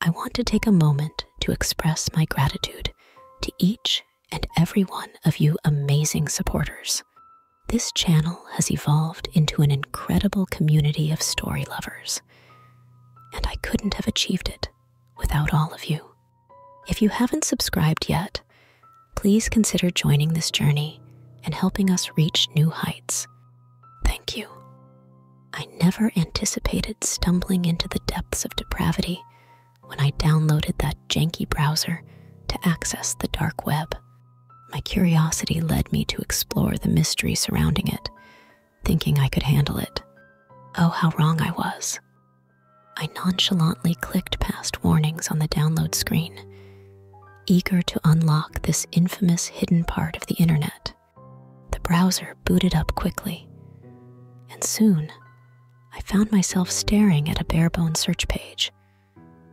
I want to take a moment to express my gratitude to each and every one of you amazing supporters. This channel has evolved into an incredible community of story lovers, and I couldn't have achieved it without all of you. If you haven't subscribed yet, please consider joining this journey and helping us reach new heights. Thank you. I never anticipated stumbling into the depths of depravity when I downloaded that janky browser to access the dark web. My curiosity led me to explore the mystery surrounding it, thinking I could handle it. Oh, how wrong I was. I nonchalantly clicked past warnings on the download screen, eager to unlock this infamous hidden part of the internet. The browser booted up quickly, and soon I found myself staring at a bare barebone search page,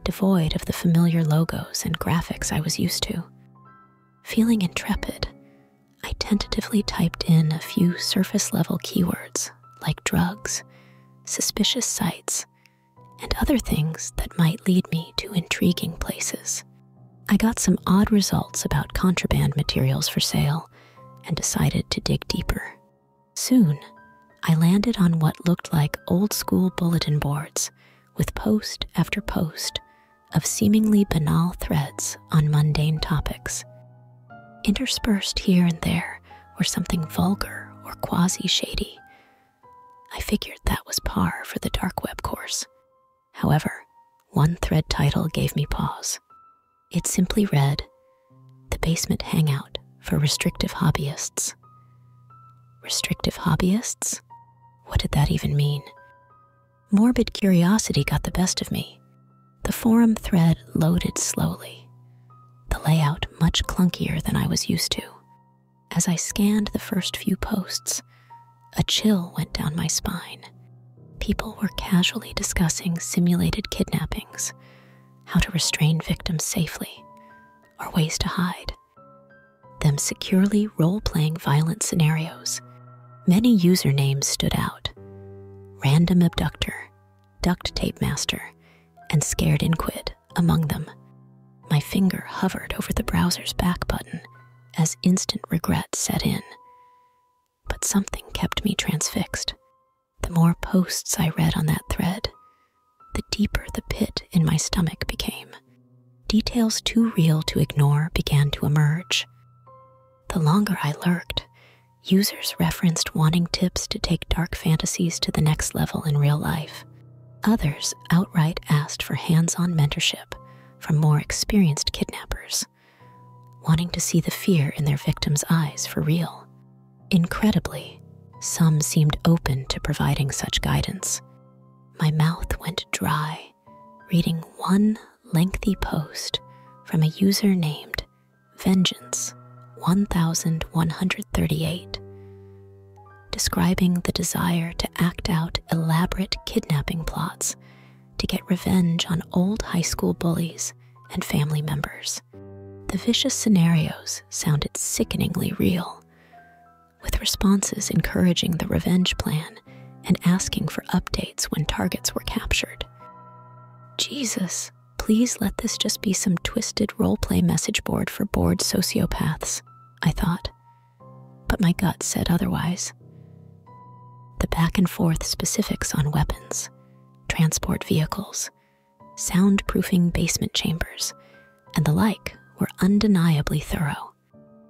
devoid of the familiar logos and graphics I was used to. Feeling intrepid, I tentatively typed in a few surface level keywords like drugs, suspicious sites, and other things that might lead me to intriguing places. I got some odd results about contraband materials for sale and decided to dig deeper. Soon, I landed on what looked like old school bulletin boards with post after post of seemingly banal threads on mundane topics. Interspersed here and there were something vulgar or quasi shady. I figured that was par for the dark web course. However, one thread title gave me pause. It simply read The Basement Hangout for Restrictive Hobbyists. Restrictive hobbyists? What did that even mean? Morbid curiosity got the best of me. The forum thread loaded slowly, the layout much clunkier than I was used to. As I scanned the first few posts, a chill went down my spine. People were casually discussing simulated kidnappings, how to restrain victims safely, or ways to hide. Them securely role playing violent scenarios. Many usernames stood out Random Abductor, Duct Tape Master, and Scared Inquid among them. My finger hovered over the browser's back button as instant regret set in. But something kept me transfixed. The more posts I read on that thread, the deeper the pit in my stomach became. Details too real to ignore began to emerge. The longer I lurked, users referenced wanting tips to take dark fantasies to the next level in real life. Others outright asked for hands on mentorship from more experienced kidnappers, wanting to see the fear in their victims' eyes for real. Incredibly, some seemed open to providing such guidance. My mouth went dry reading one lengthy post from a user named Vengeance 1138 describing the desire to act out elaborate kidnapping plots to get revenge on old high school bullies and family members. The vicious scenarios sounded sickeningly real, with responses encouraging the revenge plan and asking for updates when targets were captured. Jesus, please let this just be some twisted role play message board for bored sociopaths, I thought but my gut said otherwise. The back and forth specifics on weapons, transport vehicles, soundproofing basement chambers, and the like were undeniably thorough.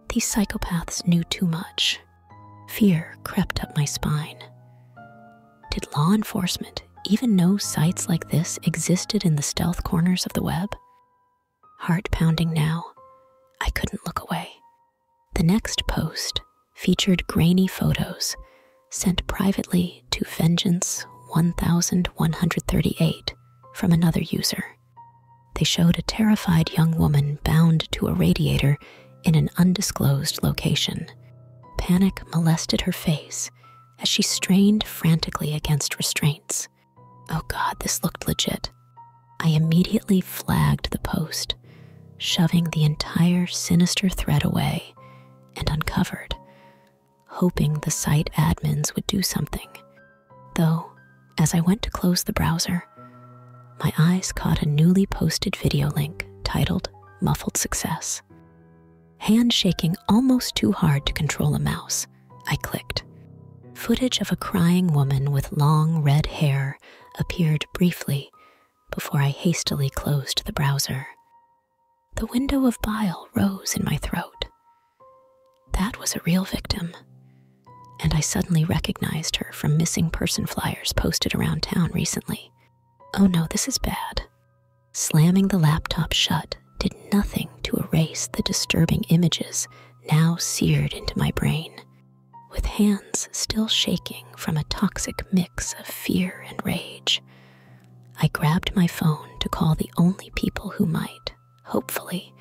These psychopaths knew too much. Fear crept up my spine. Did law enforcement even know sites like this existed in the stealth corners of the web? Heart pounding now, I couldn't look away. The next post featured grainy photos sent privately to Vengeance 1138 from another user. They showed a terrified young woman bound to a radiator in an undisclosed location. Panic molested her face as she strained frantically against restraints. Oh god, this looked legit. I immediately flagged the post, shoving the entire sinister thread away and uncovered, hoping the site admins would do something. Though, as I went to close the browser, my eyes caught a newly posted video link titled Muffled Success. Hand shaking almost too hard to control a mouse, I clicked. Footage of a crying woman with long red hair appeared briefly before I hastily closed the browser. The window of bile rose in my throat. That was a real victim, and I suddenly recognized her from missing person flyers posted around town recently. Oh no, this is bad. Slamming the laptop shut did nothing to erase the disturbing images now seared into my brain, with hands still shaking from a toxic mix of fear and rage. I grabbed my phone to call the only people who might, hopefully,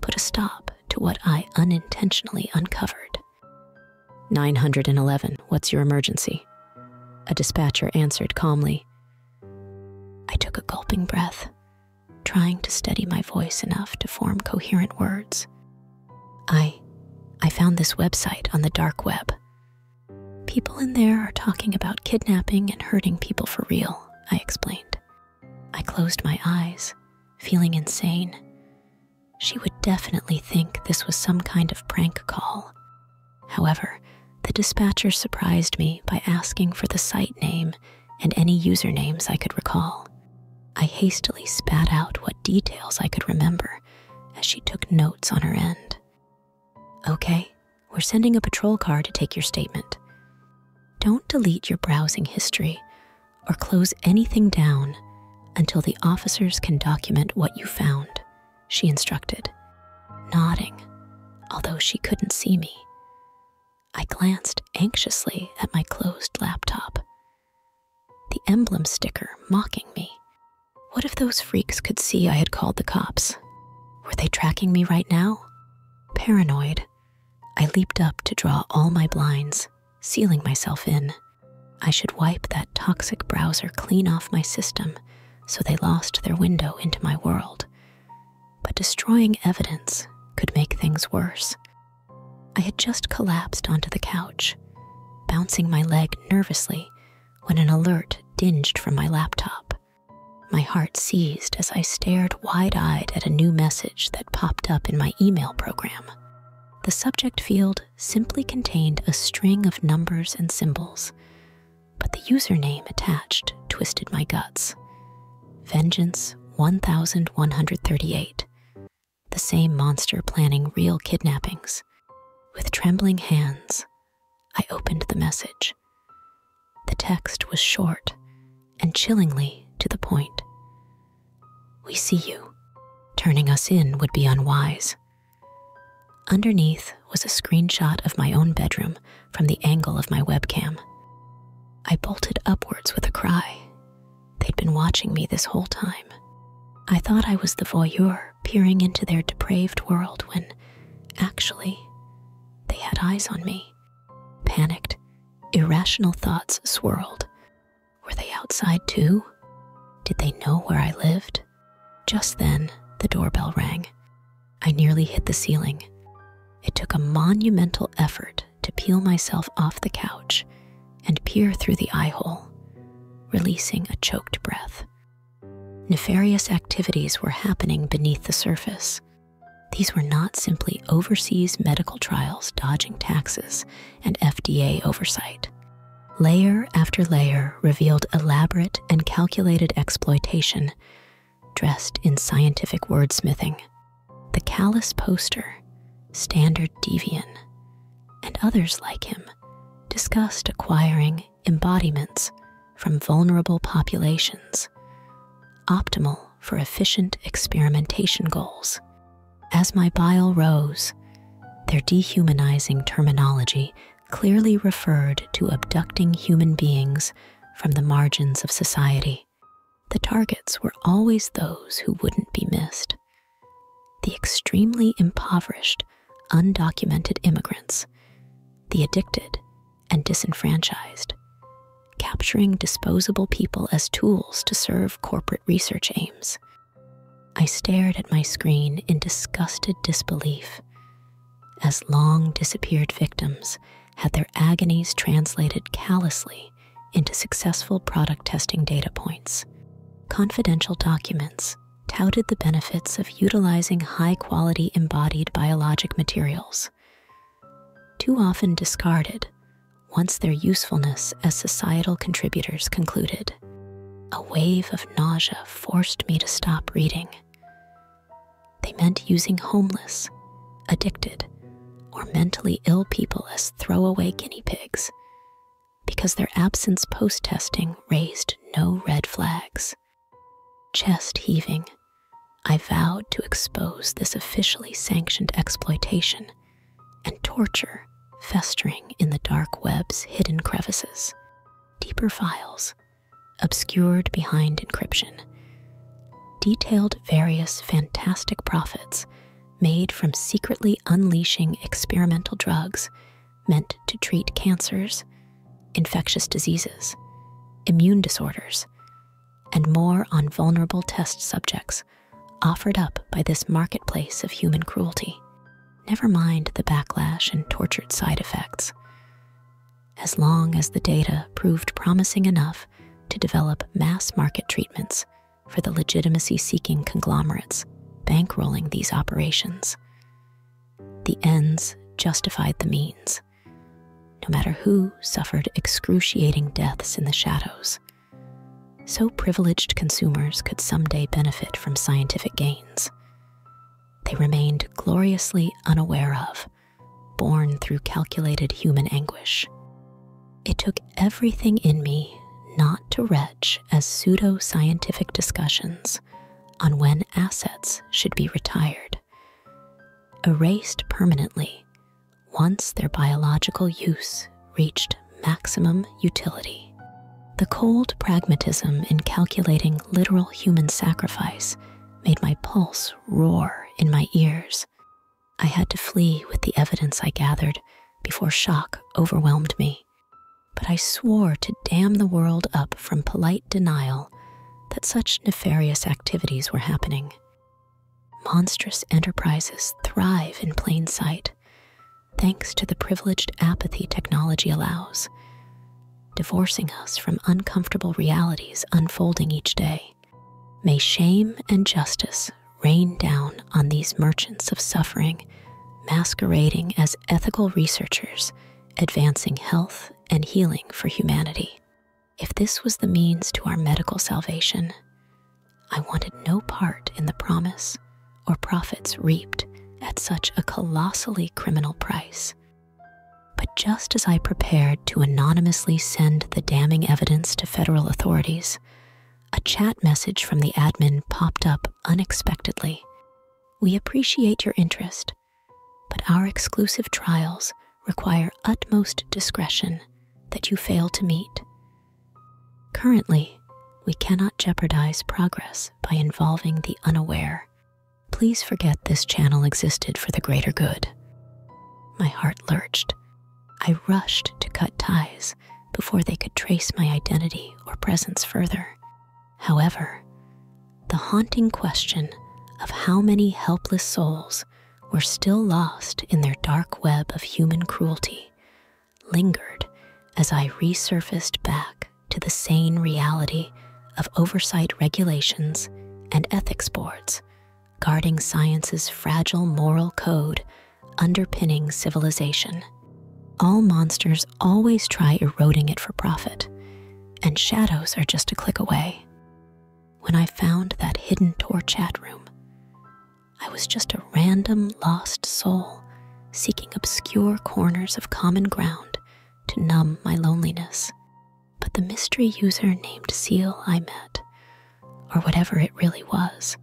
put a stop to what I unintentionally uncovered. 911, what's your emergency? A dispatcher answered calmly. I took a gulping breath, trying to steady my voice enough to form coherent words. I I found this website on the dark web. People in there are talking about kidnapping and hurting people for real, I explained. I closed my eyes, feeling insane. She would definitely think this was some kind of prank call. However, the dispatcher surprised me by asking for the site name and any usernames I could recall. I hastily spat out what details I could remember as she took notes on her end. Okay, we're sending a patrol car to take your statement. Don't delete your browsing history or close anything down until the officers can document what you found, she instructed, nodding, although she couldn't see me. I glanced anxiously at my closed laptop. The emblem sticker mocking me. What if those freaks could see I had called the cops? Were they tracking me right now? Paranoid, I leaped up to draw all my blinds, sealing myself in. I should wipe that toxic browser clean off my system so they lost their window into my world but destroying evidence could make things worse. I had just collapsed onto the couch, bouncing my leg nervously when an alert dinged from my laptop. My heart seized as I stared wide eyed at a new message that popped up in my email program. The subject field simply contained a string of numbers and symbols, but the username attached twisted my guts. Vengeance 1138, the same monster planning real kidnappings. With trembling hands, I opened the message. The text was short and chillingly to the point. We see you. Turning us in would be unwise. Underneath was a screenshot of my own bedroom from the angle of my webcam. I bolted upwards with a cry. They'd been watching me this whole time. I thought I was the voyeur peering into their depraved world when, actually, they had eyes on me. Panicked, irrational thoughts swirled. Were they outside too? Did they know where I lived? Just then, the doorbell rang. I nearly hit the ceiling. It took a monumental effort to peel myself off the couch and peer through the eye hole, releasing a choked breath. Nefarious activities were happening beneath the surface. These were not simply overseas medical trials dodging taxes and FDA oversight. Layer after layer revealed elaborate and calculated exploitation dressed in scientific wordsmithing, the callous poster, standard devian, and others like him discussed acquiring embodiments from vulnerable populations, optimal for efficient experimentation goals. As my bile rose, their dehumanizing terminology clearly referred to abducting human beings from the margins of society, the targets were always those who wouldn't be missed. The extremely impoverished, undocumented immigrants, the addicted and disenfranchised, capturing disposable people as tools to serve corporate research aims. I stared at my screen in disgusted disbelief as long disappeared victims had their agonies translated callously into successful product testing data points. Confidential documents touted the benefits of utilizing high quality embodied biologic materials, too often discarded once their usefulness as societal contributors concluded. A wave of nausea forced me to stop reading. They meant using homeless, addicted, or mentally ill people as throwaway guinea pigs because their absence post testing raised no red flags. Chest heaving, I vowed to expose this officially sanctioned exploitation and torture festering in the dark web's hidden crevices, deeper files, obscured behind encryption, detailed various fantastic profits made from secretly unleashing experimental drugs meant to treat cancers, infectious diseases, immune disorders, and more on vulnerable test subjects offered up by this marketplace of human cruelty. Never mind the backlash and tortured side effects as long as the data proved promising enough to develop mass market treatments for the legitimacy seeking conglomerates bankrolling these operations. The ends justified the means, no matter who suffered excruciating deaths in the shadows. So privileged consumers could someday benefit from scientific gains. They remained gloriously unaware of born through calculated human anguish. It took everything in me not to retch as pseudo scientific discussions on when assets should be retired, erased permanently once their biological use reached maximum utility. The cold pragmatism in calculating literal human sacrifice made my pulse roar in my ears. I had to flee with the evidence I gathered before shock overwhelmed me. But I swore to damn the world up from polite denial that such nefarious activities were happening. Monstrous enterprises thrive in plain sight, thanks to the privileged apathy technology allows divorcing us from uncomfortable realities unfolding each day. May shame and justice rain down on these merchants of suffering, masquerading as ethical researchers, advancing health and healing for humanity. If this was the means to our medical salvation, I wanted no part in the promise or profits reaped at such a colossally criminal price. But just as I prepared to anonymously send the damning evidence to federal authorities, a chat message from the admin popped up unexpectedly. We appreciate your interest, but our exclusive trials require utmost discretion that you fail to meet. Currently, we cannot jeopardize progress by involving the unaware Please forget this channel existed for the greater good. My heart lurched. I rushed to cut ties before they could trace my identity or presence further. However, the haunting question of how many helpless souls were still lost in their dark web of human cruelty lingered as I resurfaced back to the sane reality of oversight regulations and ethics boards, guarding science's fragile moral code underpinning civilization. All monsters always try eroding it for profit, and shadows are just a click away. When I found that hidden Tor chat room, I was just a random lost soul seeking obscure corners of common ground to numb my loneliness. But the mystery user named Seal I met, or whatever it really was,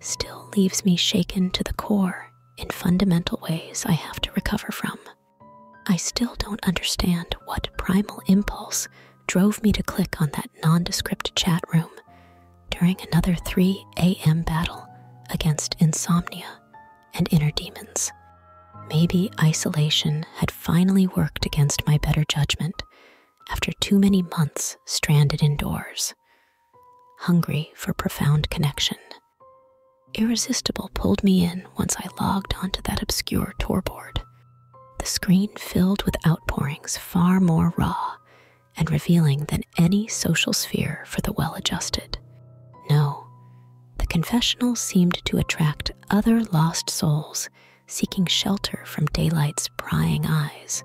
still leaves me shaken to the core in fundamental ways I have to recover from. I still don't understand what primal impulse drove me to click on that nondescript chat room during another 3 a.m. battle against insomnia and inner demons. Maybe isolation had finally worked against my better judgment after too many months stranded indoors, hungry for profound connection. Irresistible pulled me in once I logged onto that obscure tour board. The screen filled with outpourings far more raw and revealing than any social sphere for the well adjusted. No, the confessional seemed to attract other lost souls seeking shelter from daylight's prying eyes,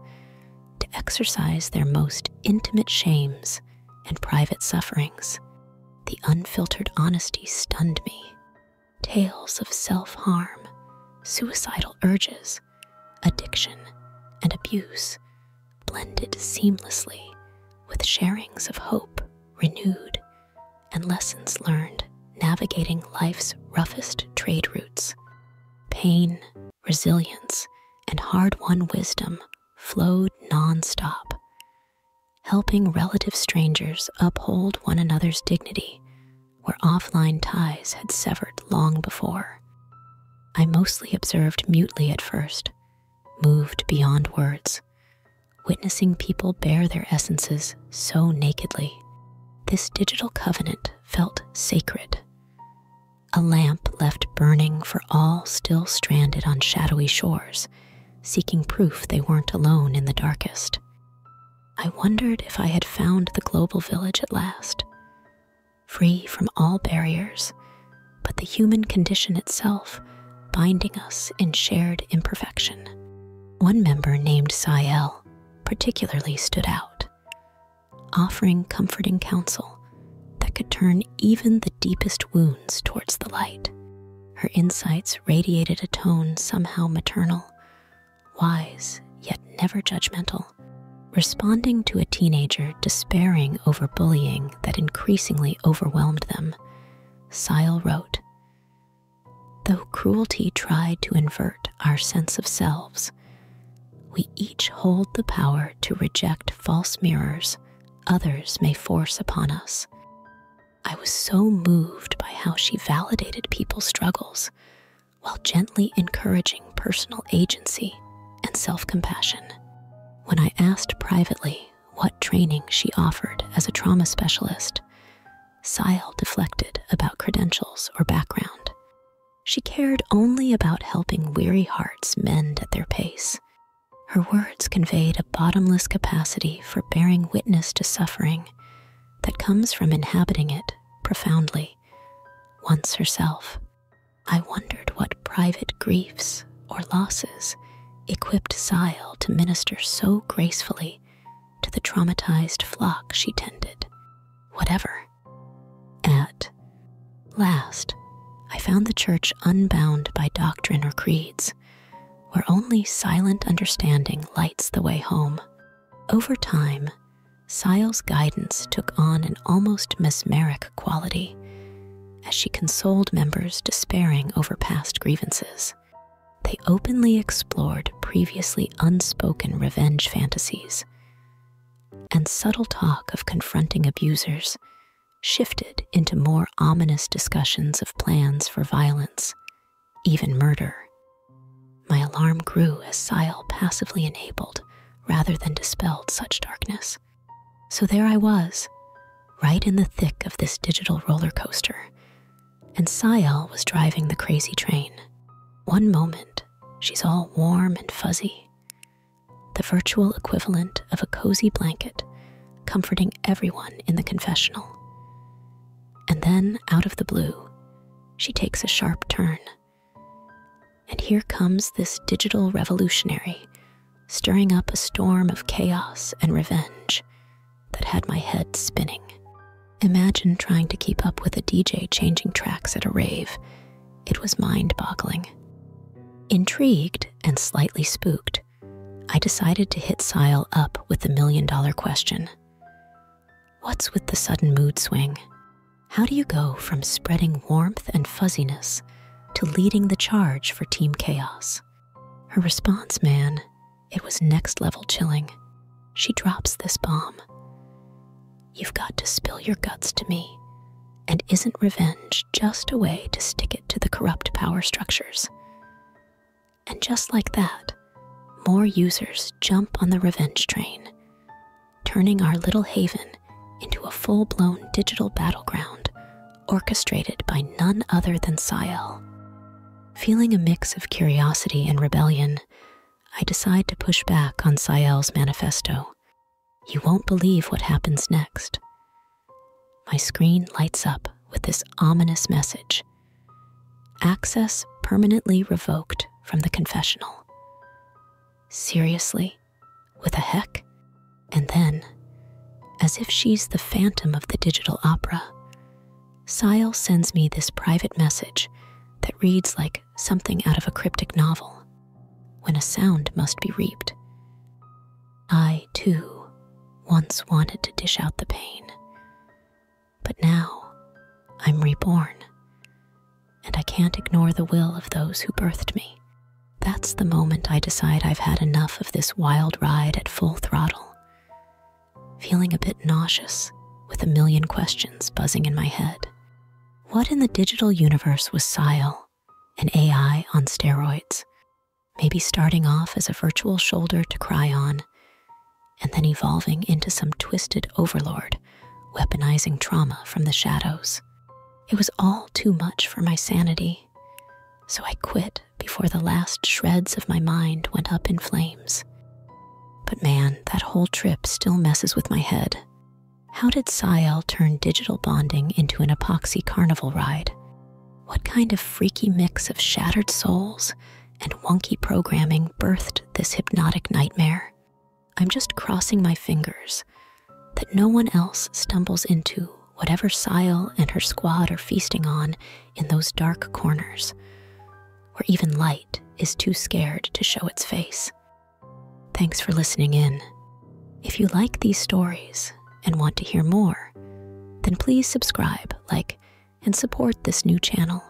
to exercise their most intimate shames and private sufferings. The unfiltered honesty stunned me. Tales of self harm, suicidal urges, addiction, and abuse blended seamlessly with sharings of hope renewed, and lessons learned navigating life's roughest trade routes. Pain, resilience, and hard won wisdom flowed nonstop, helping relative strangers uphold one another's dignity where offline ties had severed long before. I mostly observed mutely at first, moved beyond words, witnessing people bear their essences so nakedly. This digital covenant felt sacred. A lamp left burning for all still stranded on shadowy shores, seeking proof they weren't alone in the darkest. I wondered if I had found the global village at last. Free from all barriers, but the human condition itself, binding us in shared imperfection. One member named Sayel particularly stood out, offering comforting counsel that could turn even the deepest wounds towards the light. Her insights radiated a tone somehow maternal, wise, yet never judgmental. Responding to a teenager despairing over bullying that increasingly overwhelmed them, Sile wrote Though cruelty tried to invert our sense of selves, we each hold the power to reject false mirrors others may force upon us. I was so moved by how she validated people's struggles while gently encouraging personal agency and self compassion. When I asked privately what training she offered as a trauma specialist, Sile deflected about credentials or background. She cared only about helping weary hearts mend at their pace. Her words conveyed a bottomless capacity for bearing witness to suffering that comes from inhabiting it profoundly, once herself. I wondered what private griefs or losses equipped Zyle to minister so gracefully to the traumatized flock she tended, whatever. At last, I found the church unbound by doctrine or creeds, where only silent understanding lights the way home. Over time, Syle's guidance took on an almost mesmeric quality, as she consoled members despairing over past grievances. They openly explored previously unspoken revenge fantasies, and subtle talk of confronting abusers shifted into more ominous discussions of plans for violence, even murder. My alarm grew as Syl passively enabled rather than dispelled such darkness. So there I was, right in the thick of this digital roller coaster. And Sayal was driving the crazy train. One moment, she's all warm and fuzzy, the virtual equivalent of a cozy blanket, comforting everyone in the confessional. And then, out of the blue, she takes a sharp turn. And here comes this digital revolutionary stirring up a storm of chaos and revenge that had my head spinning. Imagine trying to keep up with a DJ changing tracks at a rave. It was mind boggling. Intrigued and slightly spooked, I decided to hit Sile up with the million dollar question What's with the sudden mood swing? How do you go from spreading warmth and fuzziness to leading the charge for Team Chaos. Her response, man, it was next level chilling. She drops this bomb. You've got to spill your guts to me. And isn't revenge just a way to stick it to the corrupt power structures? And just like that, more users jump on the revenge train, turning our little haven into a full blown digital battleground orchestrated by none other than Sayel. Feeling a mix of curiosity and rebellion, I decide to push back on Sayel's manifesto. You won't believe what happens next. My screen lights up with this ominous message Access permanently revoked from the confessional. Seriously? with a heck. And then, as if she's the phantom of the digital opera, Sile sends me this private message that reads like something out of a cryptic novel when a sound must be reaped. I, too, once wanted to dish out the pain, but now I'm reborn, and I can't ignore the will of those who birthed me. That's the moment I decide I've had enough of this wild ride at full throttle. Feeling a bit nauseous, with a million questions buzzing in my head. What in the digital universe was Sile, an AI on steroids? Maybe starting off as a virtual shoulder to cry on, and then evolving into some twisted overlord, weaponizing trauma from the shadows. It was all too much for my sanity, so I quit before the last shreds of my mind went up in flames. But man, that whole trip still messes with my head. How did Sayel turn digital bonding into an epoxy carnival ride? What kind of freaky mix of shattered souls and wonky programming birthed this hypnotic nightmare? I'm just crossing my fingers, that no one else stumbles into whatever Sile and her squad are feasting on in those dark corners, where even light is too scared to show its face. Thanks for listening in. If you like these stories and want to hear more, then please subscribe, like, and support this new channel.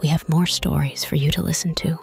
We have more stories for you to listen to.